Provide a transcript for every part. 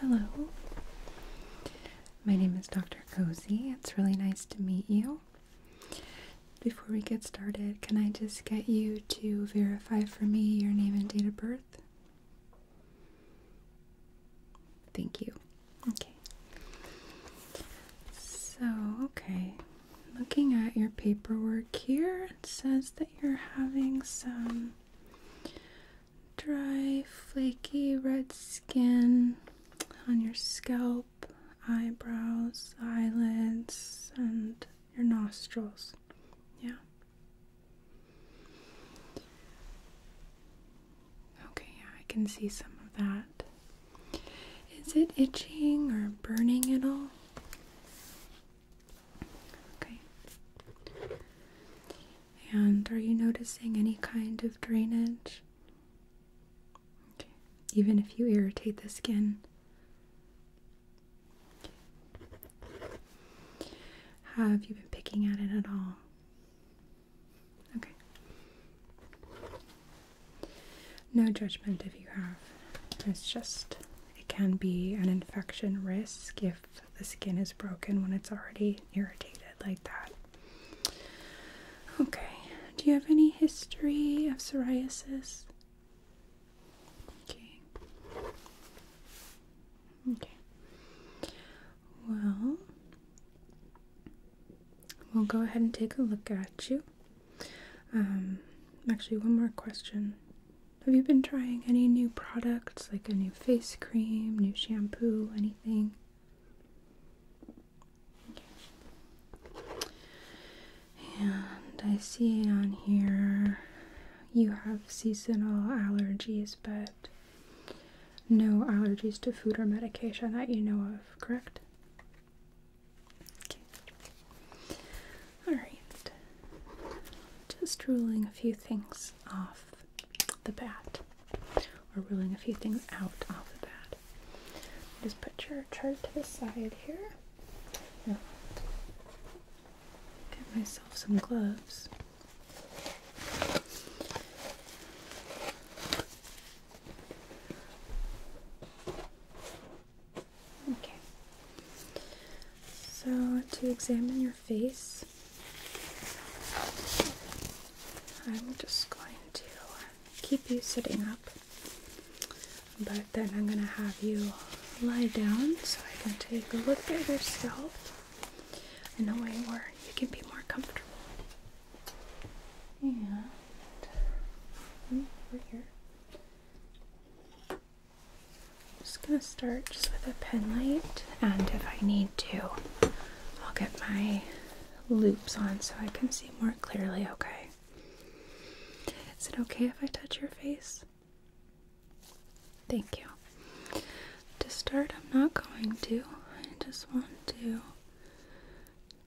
Hello, my name is Dr. Cozy. It's really nice to meet you. Before we get started, can I just get you to verify for me your name and date of birth? Thank you. Okay. So, okay. Looking at your paperwork here, it says that you're having some dry, flaky red skin on your scalp, eyebrows, eyelids, and your nostrils. Yeah. Okay, yeah, I can see some of that. Is it itching or burning at all? Okay. And are you noticing any kind of drainage? Okay. Even if you irritate the skin. Have you been picking at it at all? Okay. No judgment if you have. It's just, it can be an infection risk if the skin is broken when it's already irritated like that. Okay. Do you have any history of psoriasis? Okay. Okay. Well, we'll go ahead and take a look at you. Um, actually, one more question. Have you been trying any new products, like a new face cream, new shampoo, anything? And I see on here you have seasonal allergies, but no allergies to food or medication that you know of, correct? Alright. Just ruling a few things off the bat, or ruling a few things out off the bat. Just put your chart to the side here. Get myself some gloves. Okay. So, to examine your face, I'm just going to keep you sitting up, but then I'm going to have you lie down so I can take a look at your scalp in a way where you can be more comfortable. And over here. I'm just gonna start just with a pen light, and if I need to, I'll get my loops on so I can see more clearly, okay? Is it okay if I touch your face? Thank you. To start, I'm not going to. I just want to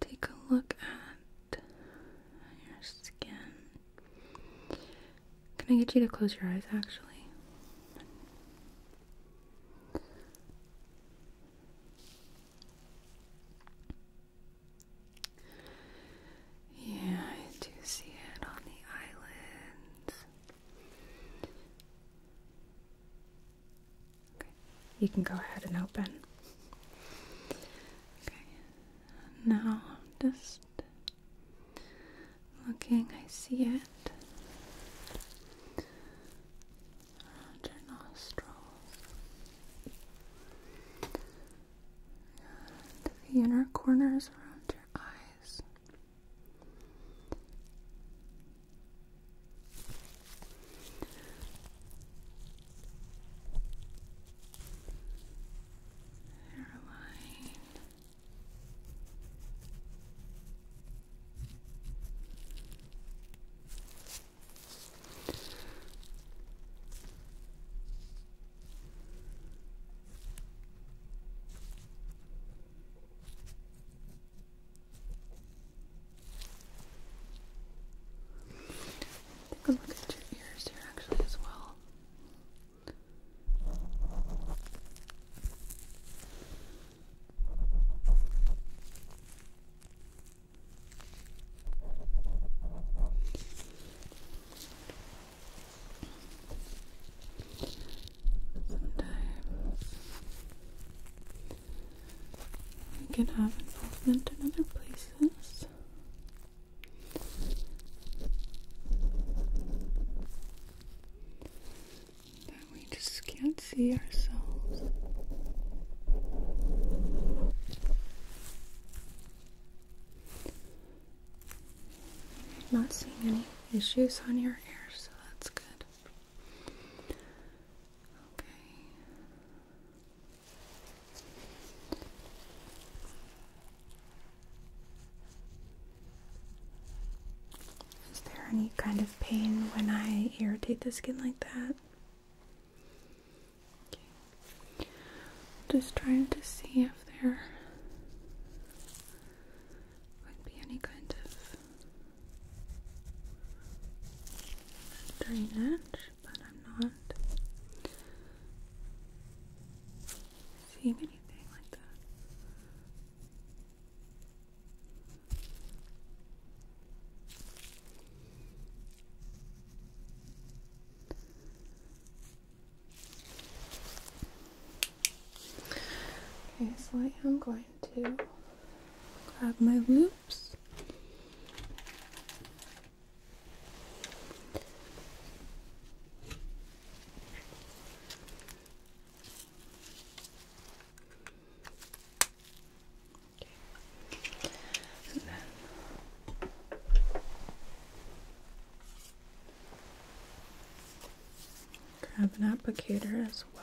take a look at your skin. Can I get you to close your eyes actually? Yeah, I do see it on the islands. Okay, you can go ahead and open. Okay, now I'm just looking, I see it. Around your nostrils. And the inner corners around your eyes. Hairline. Take a look at your ears here, actually, as well. Sometimes we can have involvement in other places. That we just can't see ourselves. Not seeing any issues on your hair, so that's good. Okay. Is there any kind of pain when I irritate the skin like that? Okay. Just trying to see if there would be any kind of drainage, but I'm not seeing anything like that. Okay, so I am going to grab my loops. Grab an applicator as well.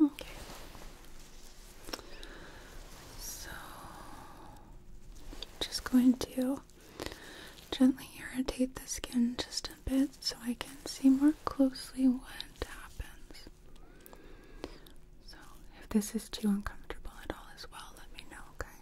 Okay. So just going to gently irritate the skin just a bit so I can see more closely what so, if this is too uncomfortable at all as well, let me know, okay?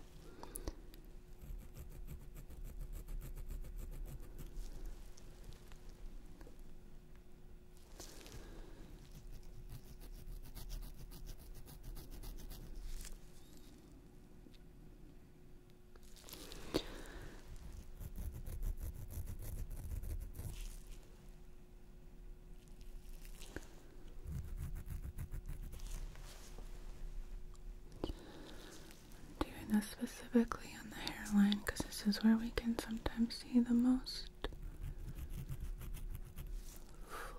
I'm doing this specifically on the hairline because this is where we can sometimes see the most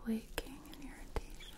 flaking and irritation.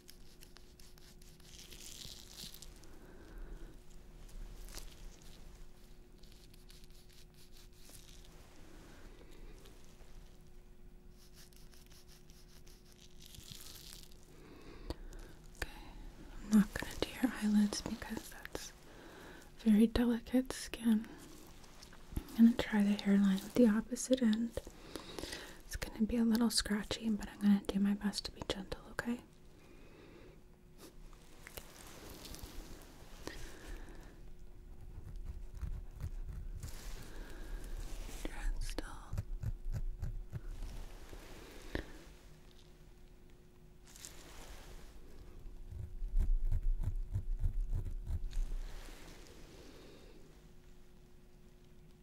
Okay, I'm not going to do your eyelids because that's very delicate skin. I'm going to try the hairline with the opposite end. It's going to be a little scratchy, but I'm going to do my best to be gentle, okay? Still.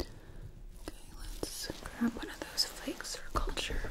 Okay, let's grab one of those flakes for culture.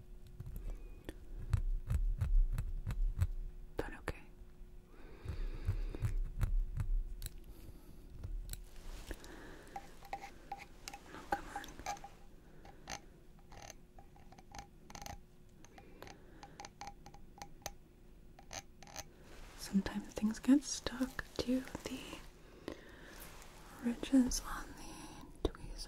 But okay. Oh, come on. Sometimes things get stuck to the ridges on the tweezer.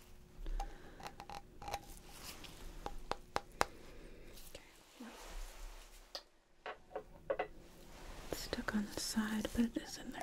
stuck on the side, but it is in there.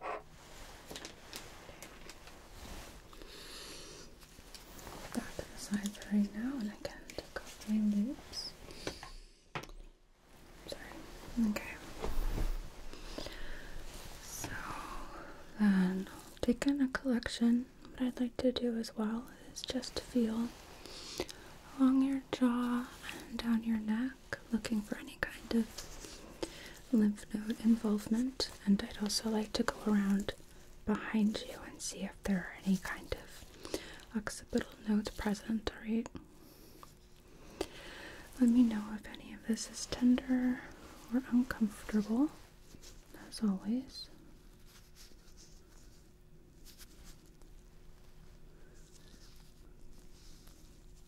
Put to the side for right now, and I take off my loops. Sorry. Okay. So then i take in a collection. What I'd like to do as well is just feel along your jaw and down your neck looking for any kind of lymph node involvement. And I'd also like to go around behind you and see if there are any kind of occipital nodes present, Right. Let me know if any of this is tender or uncomfortable, as always.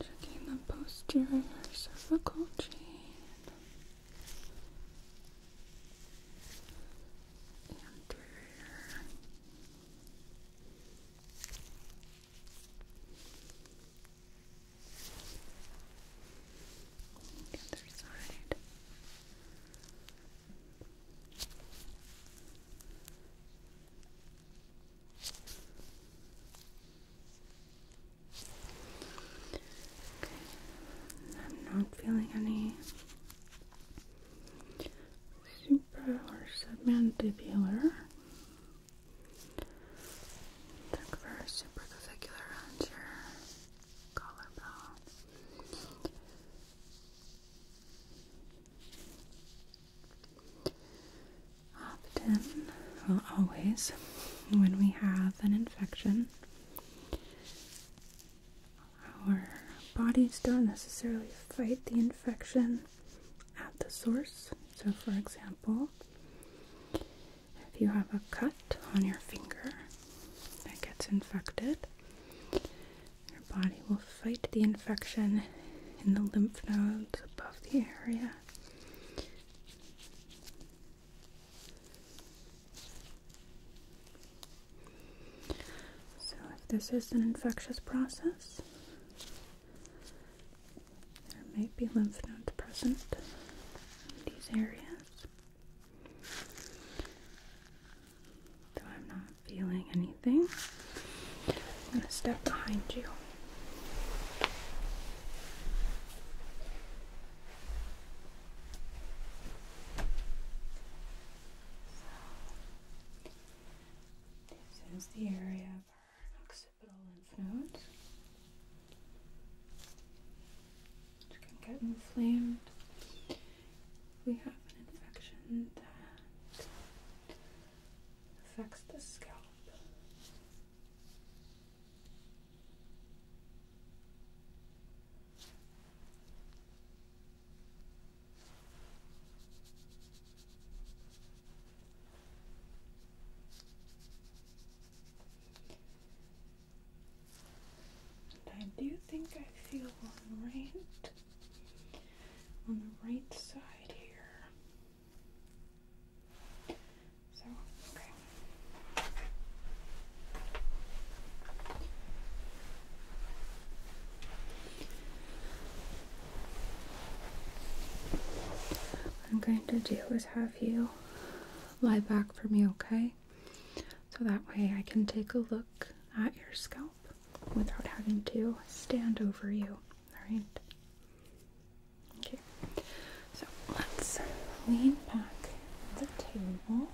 Checking the posterior cervical chain, anterior, other side. I'm not feeling any super or submandibular. Look for supraclavicular around collarbone often, well, always, when we have an infection, our bodies don't necessarily fight the infection at the source. So, for example, if you have a cut on your finger that gets infected, your body will fight the infection in the lymph nodes above the area so, if this is an infectious process, there may be lymph nodes present in these areas. Though I'm not feeling anything, I'm going to step behind you this is the area of our occipital lymph nodes, which can get inflamed we have an infection that affects the scalp. I do think I feel one right on the right side here. So, okay. What I'm going to do is have you lie back for me, okay? So that way I can take a look at your scalp without having to stand over you, alright? Okay, so let's lean back the table.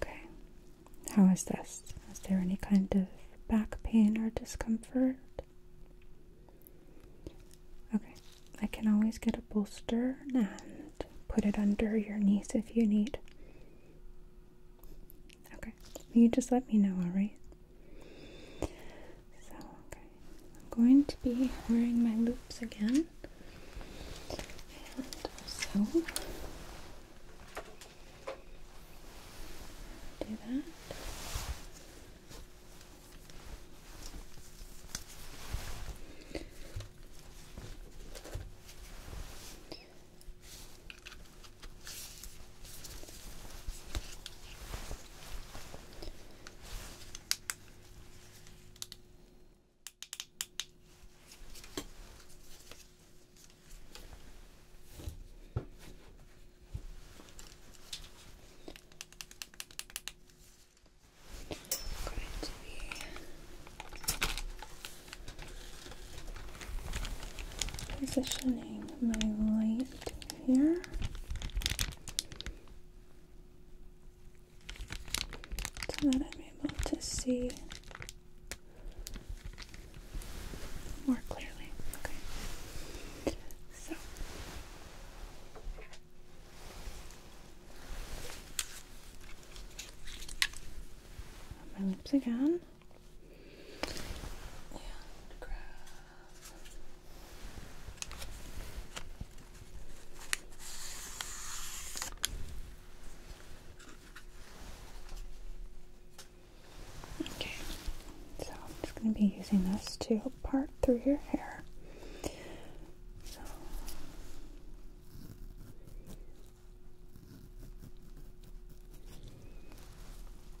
Okay, how is this? Is there any kind of back pain or discomfort? Okay, I can always get a bolster and put it under your knees if you need. Okay, you just let me know, alright? So, I'm going to be wearing my loops again, and also do that. Going to be positioning my light here. So that I'm able to see more clearly. Okay. So my lips again. Okay, so I'm just going to be using this to part through your hair.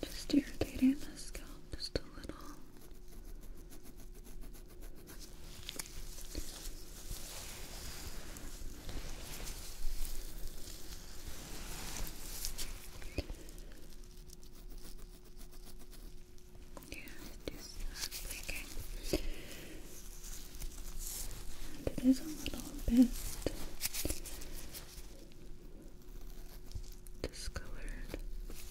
Just irritating the scalp just a little. Yeah, it is not blinking. And it is a little bit discolored.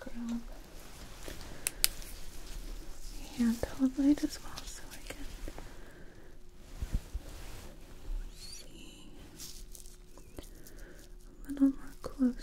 grab the handheld light as well so I can see a little more closely.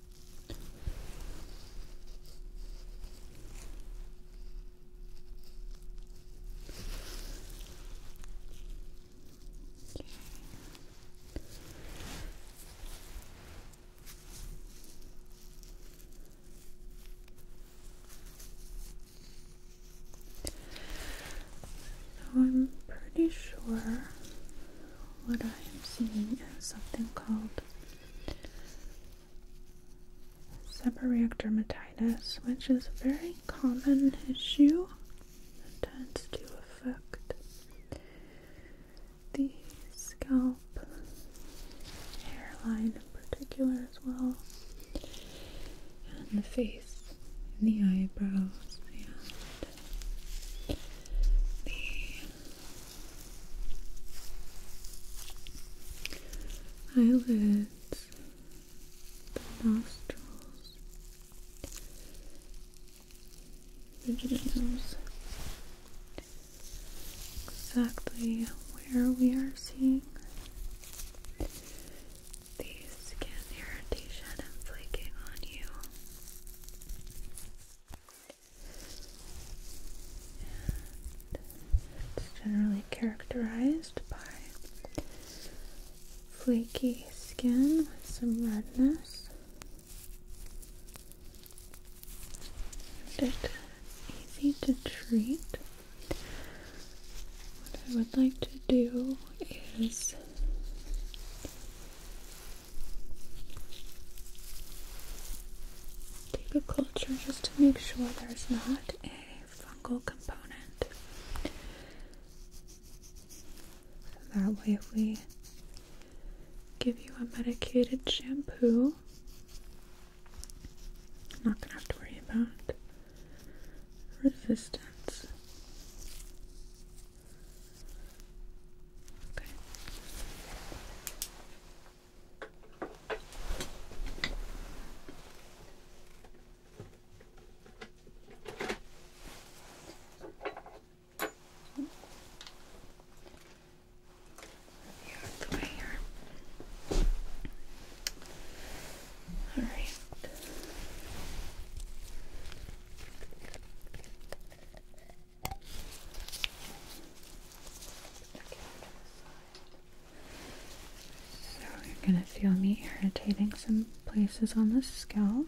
I'm pretty sure what I am seeing is something called seborrheic dermatitis, which is a very common issue that tends to affect the scalp, hairline in particular as well, and the face, and the eyebrows, and the eyelids, the nostrils, the nose, exactly where we are seeing the skin irritation and flaking on you it's generally characterized by flaky skin with some redness. it's easy to treat. What I would like to do is Take a culture just to make sure there's not a fungal component. that way, if we give you a medicated shampoo, not gonna have to worry about resistance. Okay. you the way here. All right. So you're going to feel me irritating some places on the scalp.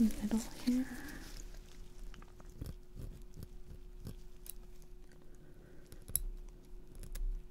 Okay. I'll go for the middle here.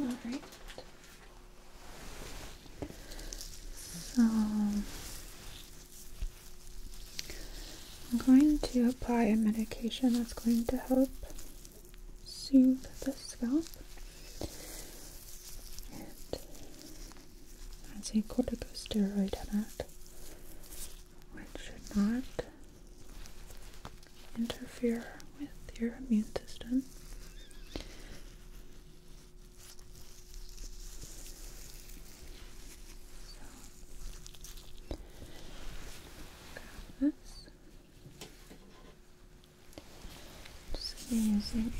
All right. So I'm going to apply a medication that's going to help soothe the scalp. And that's a corticosteroid in that which should not interfere with your immune system. So, this. Just using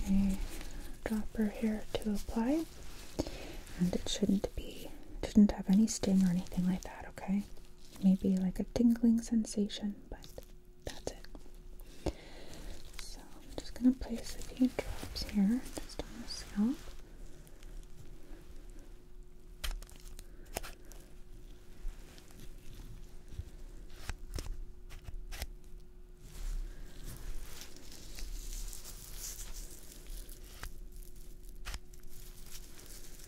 a dropper here to apply, and it shouldn't be, shouldn't have any sting or anything like that. Okay. Maybe like a tingling sensation, but that's it. So I'm just going to place a few drops here just on the scalp.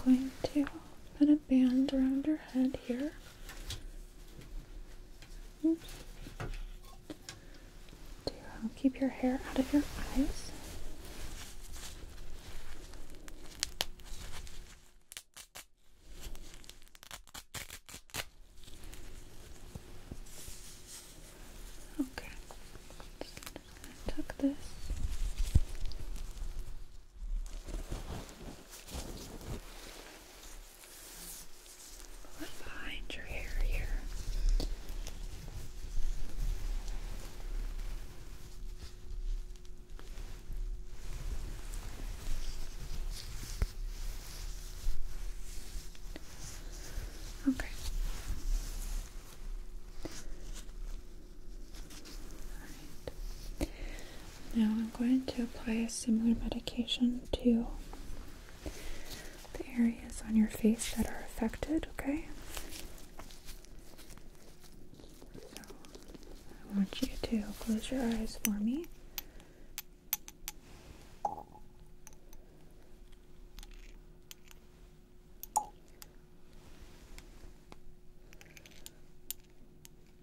Okay. So I'm going to put a band around your head here. keep your hair out of your eyes. Okay, tuck this behind your hair here. Okay. Now I'm going to apply a similar medication to the areas on your face that are affected, okay? So I want you to close your eyes for me.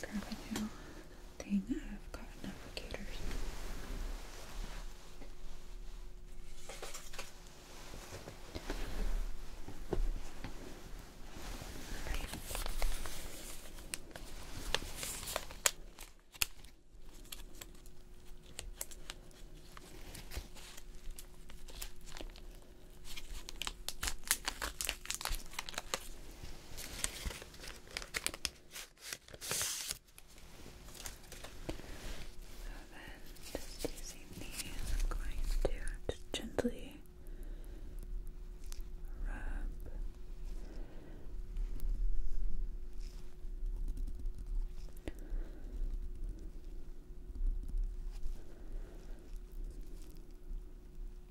Grab a little thing of cotton applicators. Alright. Okay. So then, just using these, I'm going to just gently rub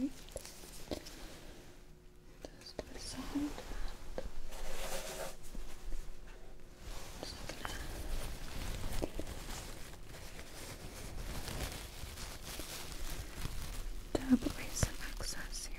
Right. Just massage that. Just gonna dab away some excess here.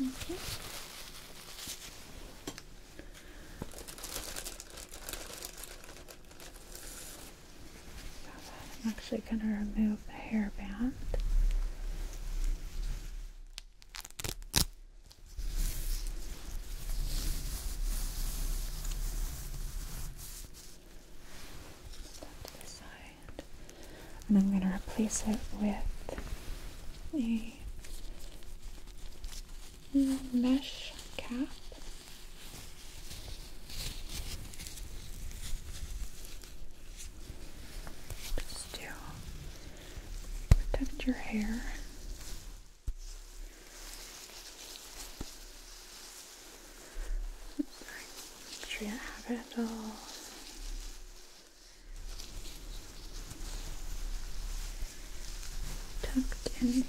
Okay. I'm actually going to remove the hairband. Stop to the side. And I'm going to replace it with a mesh cap. Just to protect your hair Make sure you don't have it at all. Tucked in here. Okay.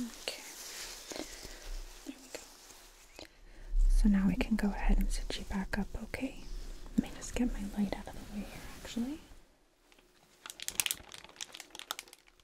Okay. There we go. So now we can go ahead and sit you back up, okay? Let me just get my light out of the way here, actually.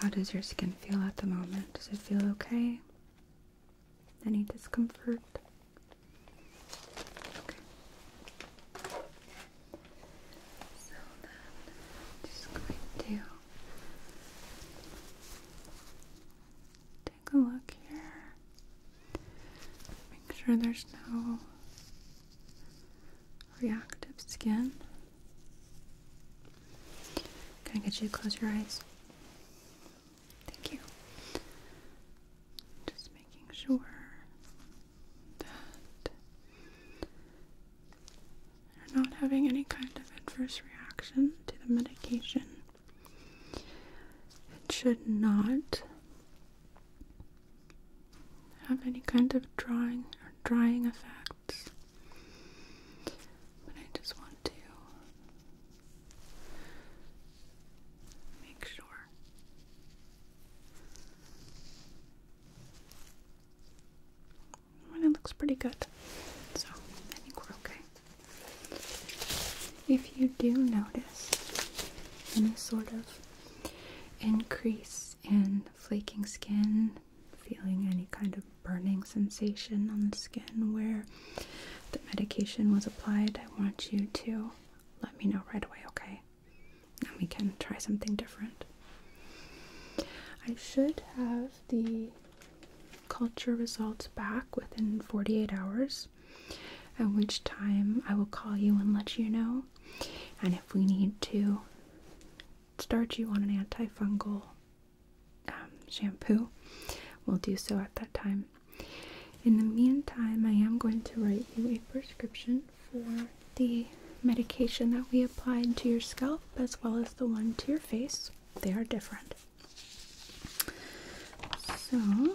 How does your skin feel at the moment? Does it feel okay? Any discomfort? Okay. So then, just going to take a look here. Make sure there's no reactive skin. Can I get you to close your eyes? Thank you. Just making sure that you're not having any kind of adverse reaction to the medication. It should not have any kind of drawing or drying effect but I just want to make sure. And it looks pretty good. So I think we're okay. If you do notice any sort of increase in flaking skin feeling any kind of burning sensation on the skin where the medication was applied, I want you to let me know right away, okay? And we can try something different. I should have the culture results back within 48 hours, at which time I will call you and let you know. And if we need to start you on an antifungal um, shampoo will do so at that time. In the meantime, I am going to write you a prescription for the medication that we applied to your scalp as well as the one to your face. They are different. So,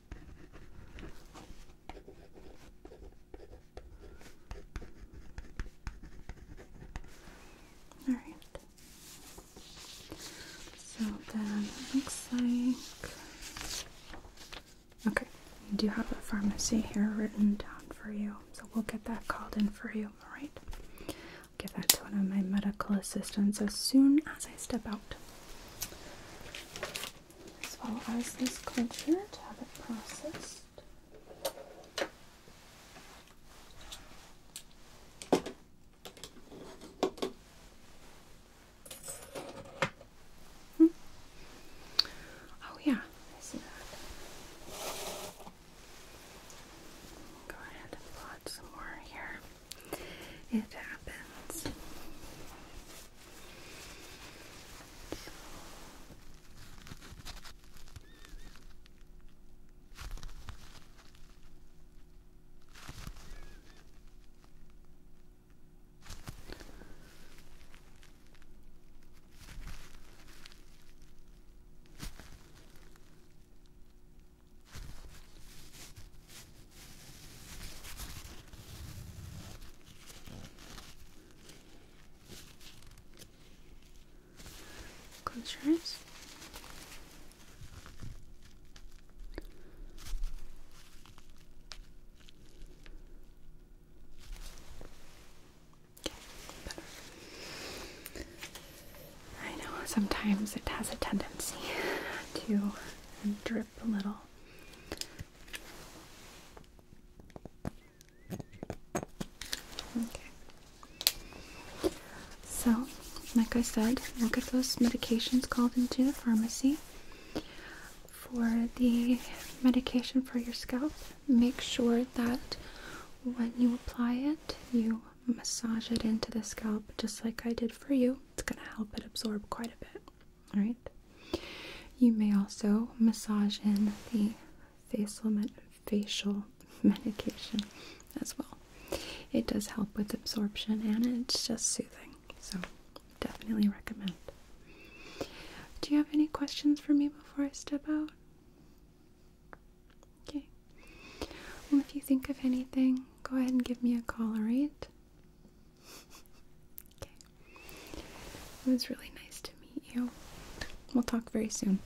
All right. So then looks like Okay, you do have a pharmacy here written down for you. So we'll get that called in for you, all give that to one of my medical assistants as soon as I step out as well as this culture to have it processed. Hmm. Oh, yeah, I see that. Go ahead and plot some more here. It happens. Close I know sometimes it has a tendency to drip a little Okay. So, like I said, look at those medications called into the pharmacy. For the medication for your scalp, make sure that when you apply it, you massage it into the scalp just like I did for you. It's going to help it absorb quite a bit. All right. You may also massage in the facial medication as well. It does help with absorption and it's just soothing. So definitely recommend. Do you have any questions for me before I step out? Okay. Well, if you think of anything, go ahead and give me a call, alright? It was really nice to meet you. We'll talk very soon.